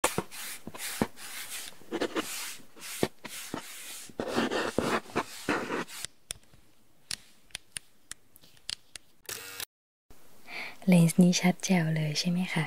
เลนส์นี้ชัดแจ๋วเลยใช่ไหมคะ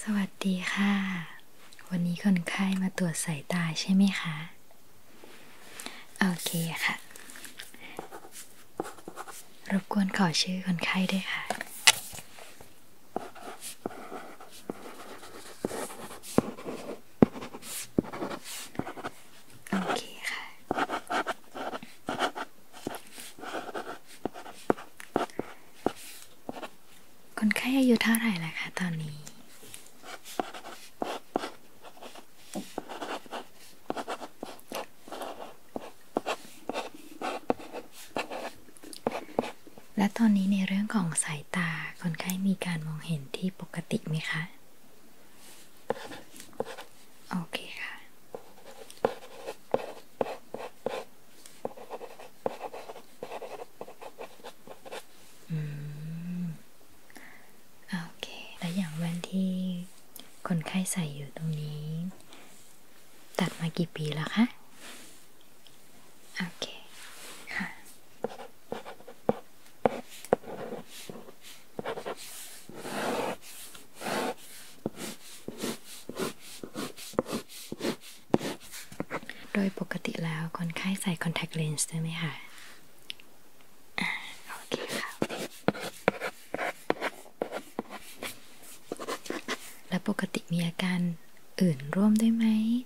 สวัสดีค่ะ วันนี้คนไข้มาตรวจสายตาใช่ไหมคะ โอเคค่ะ รบกวนขอชื่อคนไข้ด้วยค่ะ โอเคค่ะคนไข้อายุเท่าไหร่ล่ะคะตอนนี้ และตอนนี้ในเรื่องของสายตา คนไข้มีการมองเห็นที่ปกติไหมคะโอเคค่ะ อืม โอเค แล้วอย่างแว่นที่คนไข้ใส่อยู่ตรงนี้ ตัดมากี่ปีแล้วคะ โอเค ค่ะโดยปกติแล้ว คนไข้ใส่คอนแทคเลนส์ใช่ไหมคะโอเคค่ะและปกติมีอาการอื่นร่วมด้วยไหม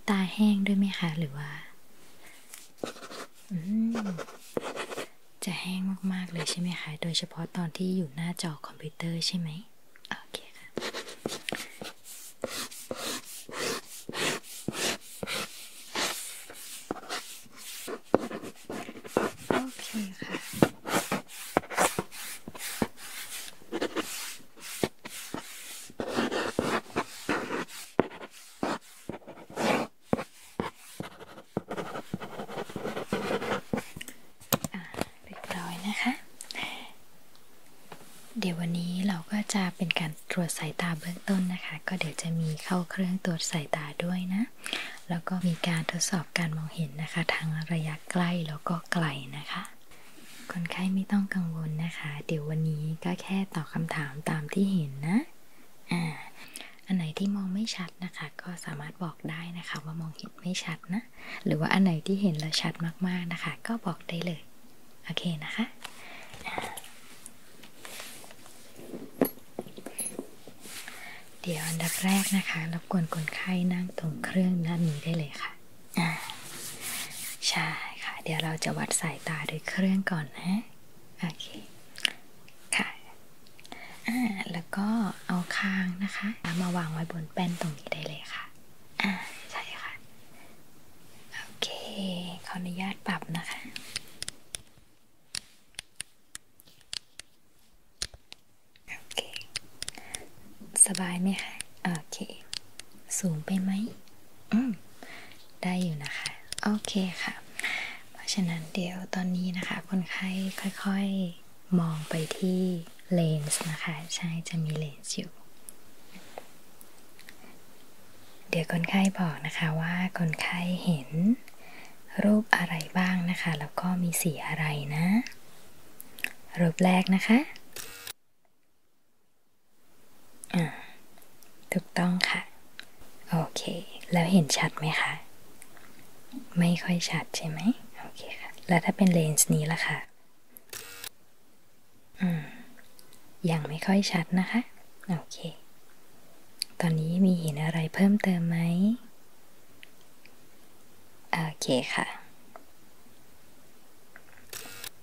ตาแห้งด้วยไหมคะ หรือว่าจะแห้งมาก ๆ เลยใช่ไหมคะ โดยเฉพาะตอนที่อยู่หน้าจอคอมพิวเตอร์ใช่ไหม โอเค ค่ะ โอเค ค่ะเรียบร้อยนะคะ เดี๋ยววันนี้เราก็จะเป็นการตรวจสายตาเบื้องต้นนะคะ ก็เดี๋ยวจะมีเข้าเครื่องตรวจสายตาด้วยนะ แล้วก็มีการทดสอบการมองเห็นนะคะทางระยะใกล้แล้วก็ไกลนะคะ คนไข้ไม่ต้องกังวลนะคะ เดี๋ยววันนี้ก็แค่ตอบคำถามตามที่เห็นนะอันไหนที่มองไม่ชัดนะคะก็สามารถบอกได้นะคะว่ามองเห็นไม่ชัดนะ หรือว่าอันไหนที่เห็นแล้วชัดมากๆนะคะ ก็บอกได้เลย โอเคนะคะ เดี๋ยวอันดับแรกนะคะรับกวนคนไข้นั่งตรงเครื่องด้านนี้ได้เลยค่ะอ่าใช่ค่ะ เดี๋ยวเราจะวัดสายตาด้วยเครื่องก่อนนะโอเค ค่ะ อ่าแล้วก็เอาคางนะคะ มาวางไว้บนแป้นตรงนี้ได้เลยค่ะ อ่าใช่ค่ะ โอเค ขออนุญาตปรับนะคะ โอเค สบายไหมคะ โอเค สูงไปไหมได้อยู่นะคะ โอเคค่ะ เพราะฉะนั้นเดี๋ยวตอนนี้นะคะ คนไข้ค่อย ๆมองไปที่เลนส์นะคะ ใช่จะมีเลนส์อยู่ เดี๋ยวคนไข้บอกนะคะว่าคนไข้เห็นรูปอะไรบ้างนะคะ แล้วก็มีสีอะไรนะ รูปแรกนะคะถูกต้องค่ะ โอเค แล้วเห็นชัดไหมคะ ไม่ค่อยชัดใช่ไหม โอเคค่ะ แล้วถ้าเป็นเลนส์นี้ล่ะคะ่ะ อืมยังไม่ค่อยชัดนะคะ โอเค ตอนนี้มีเห็นอะไรเพิ่มเติมไหมโอเคค่ะ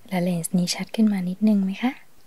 แล้วเลนส์นี้ชัดขึ้นมานิดนึงไหมคะ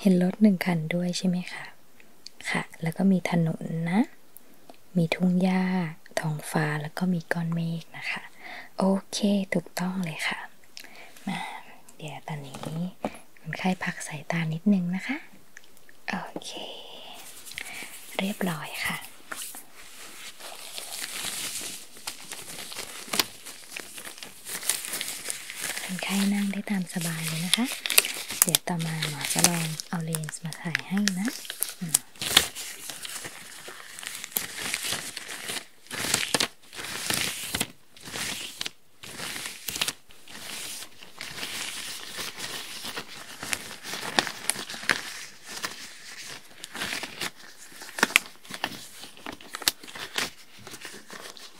เห็นรถหนึ่งคันด้วยใช่ไหมคะ ค่ะ แล้วก็มีถนนนะ มีทุ่งหญ้า ท้องฟ้า แล้วก็มีก้อนเมฆนะคะ โอเค ถูกต้องเลยค่ะ มาเดี๋ยวตอนนี้มันค่อยพักสายตานิดนึงนะคะ โอเค เรียบร้อยค่ะคนไข้นั่งได้ตามสบายเลยนะคะ เดี๋ยวต่อมาหมอจะลองเอาเลนส์มาถ่ายให้นะ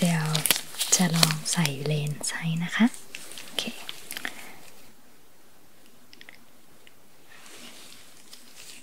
เดี๋ยวจะลองใส่เลนส์ให้นะคะ โอเคโ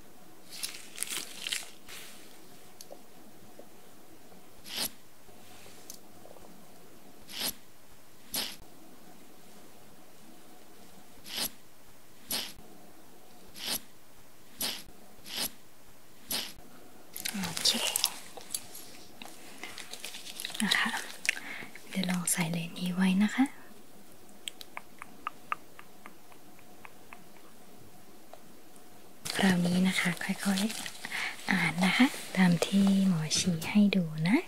นะคะ เดี๋ยวลองใส่เลนนี้ไว้นะคะคราวนี้นะคะค่อยๆอ่านนะคะ ตามที่หมอชี้ให้ดูนะ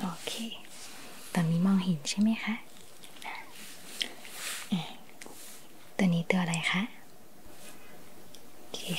โอเค ตอนนี้มองเห็นใช่ไหมคะตัวนี้ตัวอะไรคะเะ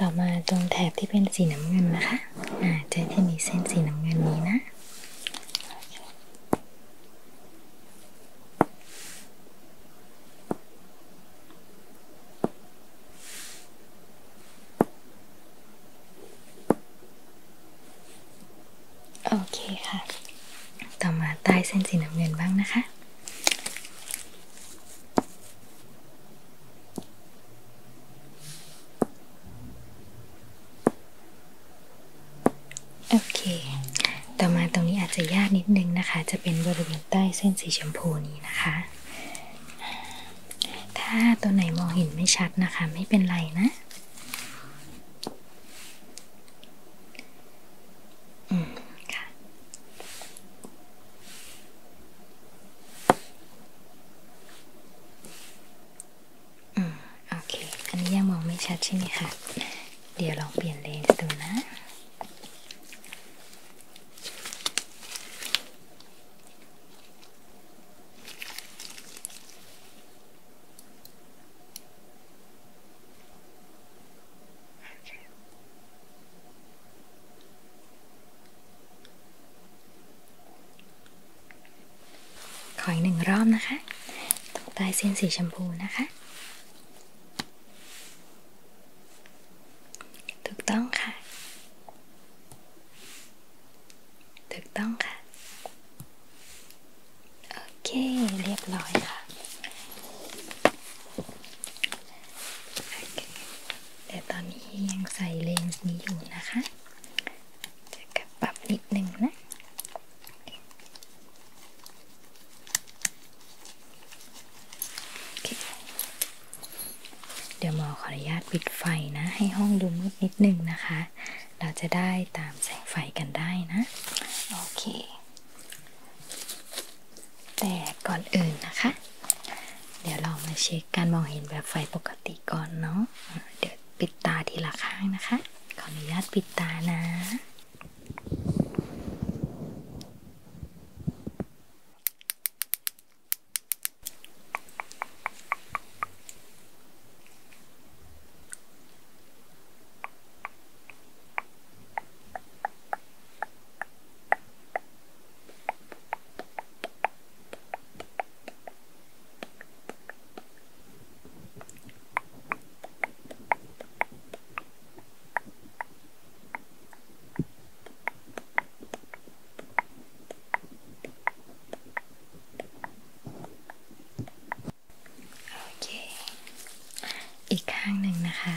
ต่อมาตรงแถบที่เป็นสีน้ำเงินนะคะอ่าจะี่มีเส้นสีน้ำเงินนี้นะ โอเคค่ะ ต่อมาใต้เส้นสีน้ำเงินบ้างนะคะโอเค ต่อมาตรงนี้อาจจะยากนิดนึงนะคะ จะเป็นบริเวณใต้เส้นสีชมพูนี้นะคะ ถ้าตัวไหนมองเห็นไม่ชัดนะคะ ไม่เป็นไรนะอืมโอเค อันนี้ยังมองไม่ชัดใช่ไหมคะเดี๋ยวลองเปลี่ยนเลนส์ดูนะโขออีกหนึ่งรอบนะคะตรงใต้เส้นสีชมพูนะคะ ถูกต้องค่ะ ถูกต้องค่ะ โอเคเรียบร้อยค่ะแต่ตอนนี้ยังใส่เลนส์นี้อยู่นะคะ จะกลับปรับนิดนึงนะ เดี๋ยวหมอขออนุญาตปิดไฟนะ ให้ห้องดูมืดนิดนึงนะคะ เราจะได้ตามแสงไฟกันได้นะ โอเคแต่ก่อนอื่นนะคะ เดี๋ยวเรามาเช็คการมองเห็นแบบไฟปกติก่อนเนาะเดี๋ยวปิดตาทีละข้างนะคะ ขออนุญาตปิดตานะโอเค อีกข้างหนึ่งนะคะ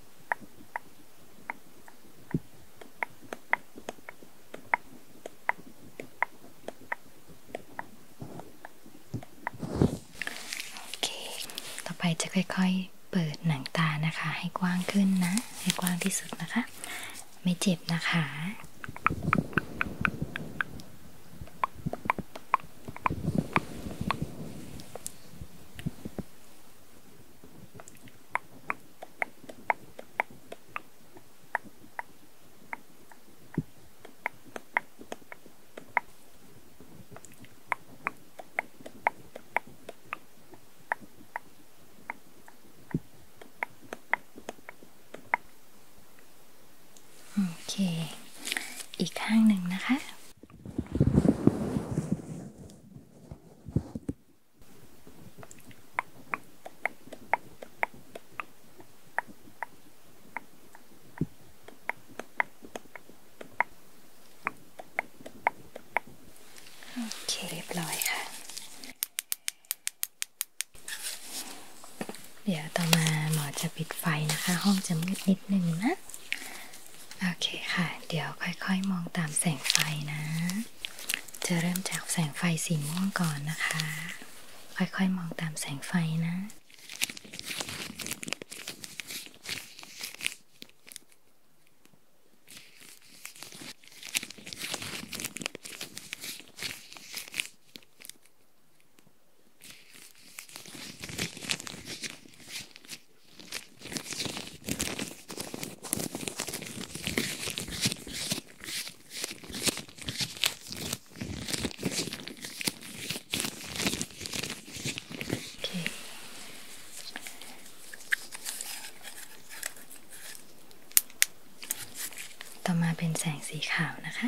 โอเค ต่อไปจะค่อยๆเปิดหนังตานะคะ ให้กว้างขึ้นนะให้กว้างที่สุดนะคะ ไม่เจ็บนะคะโอเค อีกข้างหนึ่งนะคะโอเคเรียบร้อยค่ะ เดี๋ยวต่อมาหมอจะปิดไฟนะคะ ห้องจะมืดนิดนึงนะโอเคค่ะ เดี๋ยวค่อยๆ มองตามแสงไฟนะ จะเริ่มจากแสงไฟสีม่วงก่อนนะคะ ค่อยๆ มองตามแสงไฟนะ Okay. ต่อมาเป็นแสงสีขาวนะคะ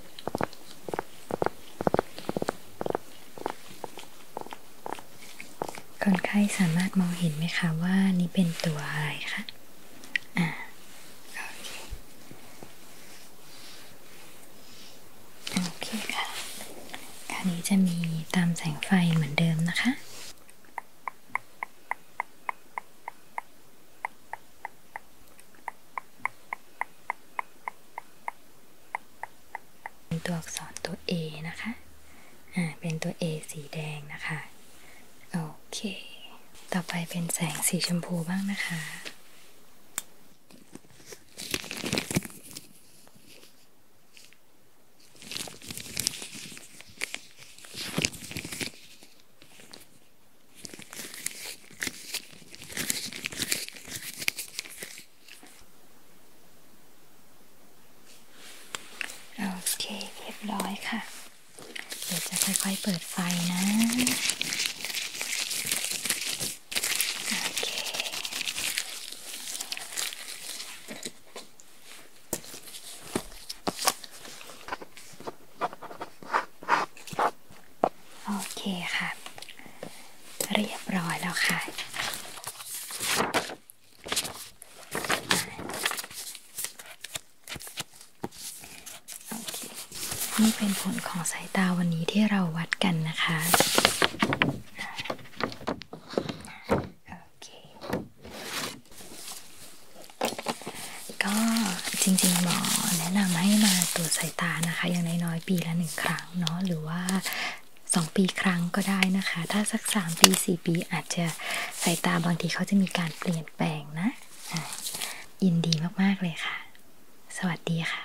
คนไข้สามารถมองเห็นไหมคะว่านี่เป็นตัวอะไรคะ อ่า โอเคค่ะคราวนี้จะมีตามแสงไฟเหมือนเดิมนะคะเป็นตัวอักษรตัว A นะคะ อ่า เป็นตัว A สีแดงนะคะ โอเค ต่อไปเป็นแสงสีชมพูบ้างนะคะโอเคเรียบร้อยค่ะ เดี๋ยวจะค่อยๆเปิดไฟนะ โอเคโโอเคค่ะเรียบร้อยแล้วค่ะนี่เป็นผลของสายตาวันนี้ที่เราวัดกันนะคะก็จริงๆหมอแนะนำให้มาตรวจสายตานะคะอย่างน้อยๆปีละหนึ่งครั้งเนาะหรือว่า 2 ปีครั้งก็ได้นะคะ ถ้าสัก 3 ปี 4 ปีอาจจะสายตาบางทีเขาจะมีการเปลี่ยนแปลงนะยินดีมากๆเลยค่ะ สวัสดีค่ะ